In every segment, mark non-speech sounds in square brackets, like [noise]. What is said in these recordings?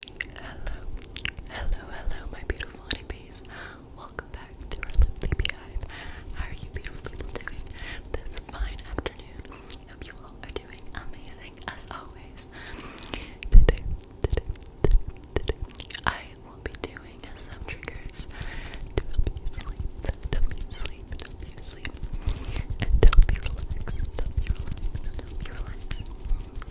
Hello, hello, hello, my beautiful honeybees. Welcome back to our Sleepy Hive. How are you beautiful people doing this fine afternoon? Hope you all are doing amazing as always. today, today, today, I will be doing some triggers to help you sleep, to help you sleep, to help you sleep, and to help you relax, to help you relax, to help you relax.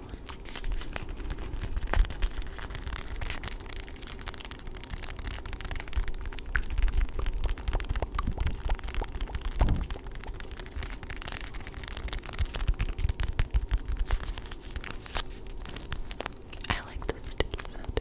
try one. I like the sticky sound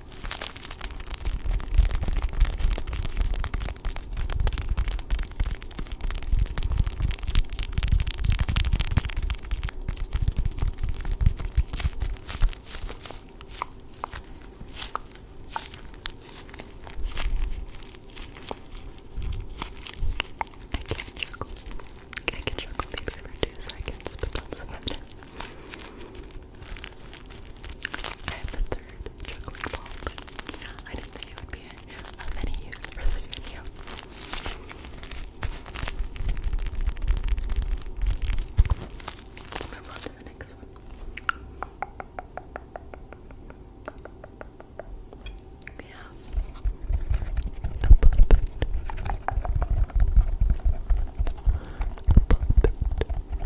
I can't juggle. I can juggle these for two seconds, but that's about it. I have the third chocolate ball, I didn't think it would be any use for this video. Let's move on to the next one.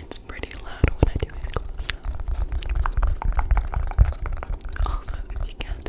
It's pretty loud when I do it close up. Also, if you can't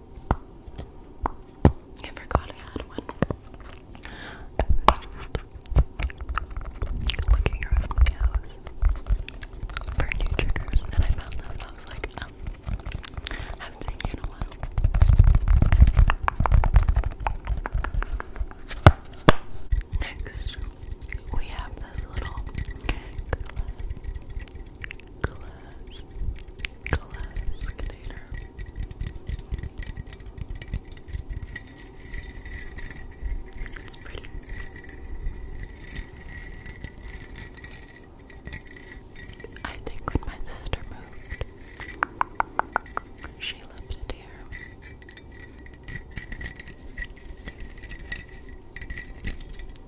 I forgot I had one. I was just looking around my house for new triggers, and I found them, I was like, I um, haven't seen you in a while. Next, we have this little glass glass container. It's pretty. I think when my sister moved, she left it here.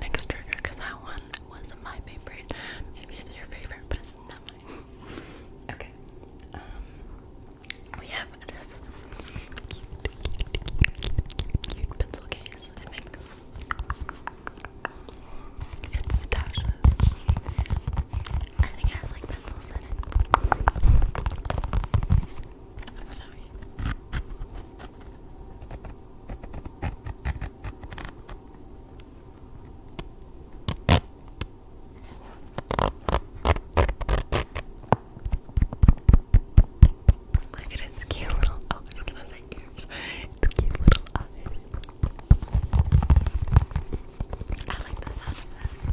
next trigger that one was my favorite. Maybe it's your favorite, but it's not mine. [laughs] okay. Um, we have this cute, pencil case. I think it's Tasha's. I think it has like pencils in it. Look at its cute little oh, I was gonna say ears. Its cute little eyes. I like the sound of this.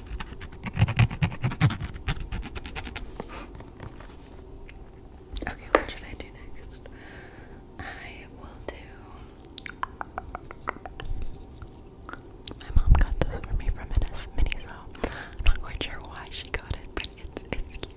Okay, what should I do next? I will do. My mom got this for me from an I'm not quite sure why she got it, but it's it's cute.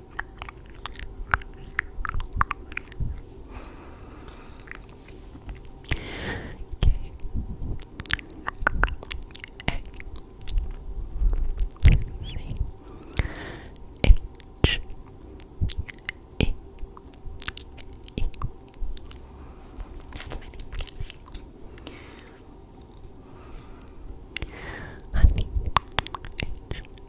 H E E That's my name. Honey H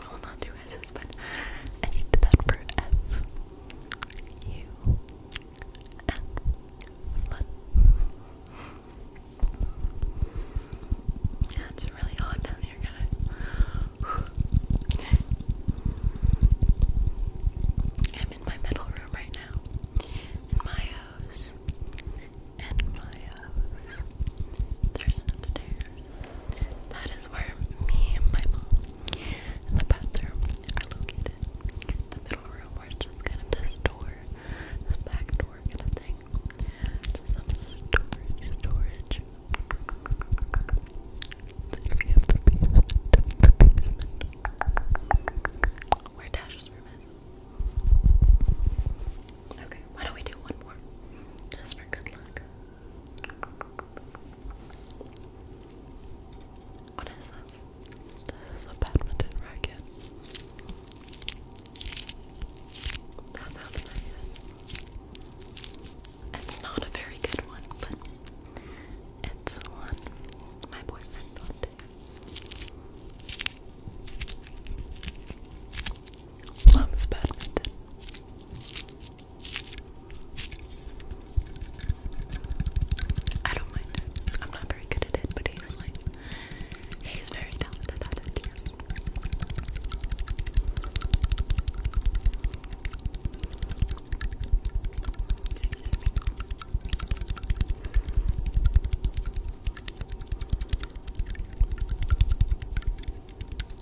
Well, not two S's, but I did that for F. U. F. Fun. Yeah, it's really hot down here, guys. I'm in my metal room right now. In my house. In my house. There's an upstairs. That is where me and my mom and the bathroom are located. The middle room where it's kind of this door, this back door kind of thing. Just some storage, storage. the basement, the basement. Where Dash's room is. Okay, why don't we do one more? Just for good luck. What is this? This is a badminton racket. That sounds nice. It's not a very good one, but it's one my boyfriend wanted. Loves badminton. I don't mind I'm not very good at it, but he's like, he's very talented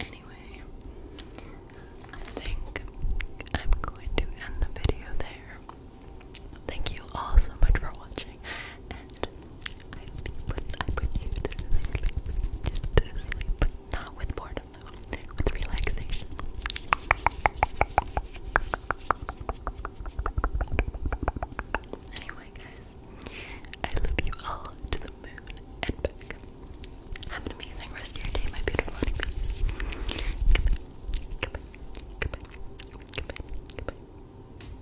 Anyway, I think I'm going to end the video there. Thank you all so much for watching, I put, I put you to sleep, not with boredom though, with relaxation. Anyway, guys, I love you all to the moon and back. Have an amazing rest of your day, my beautiful honeybees. Goodbye, goodbye, goodbye, goodbye, goodbye.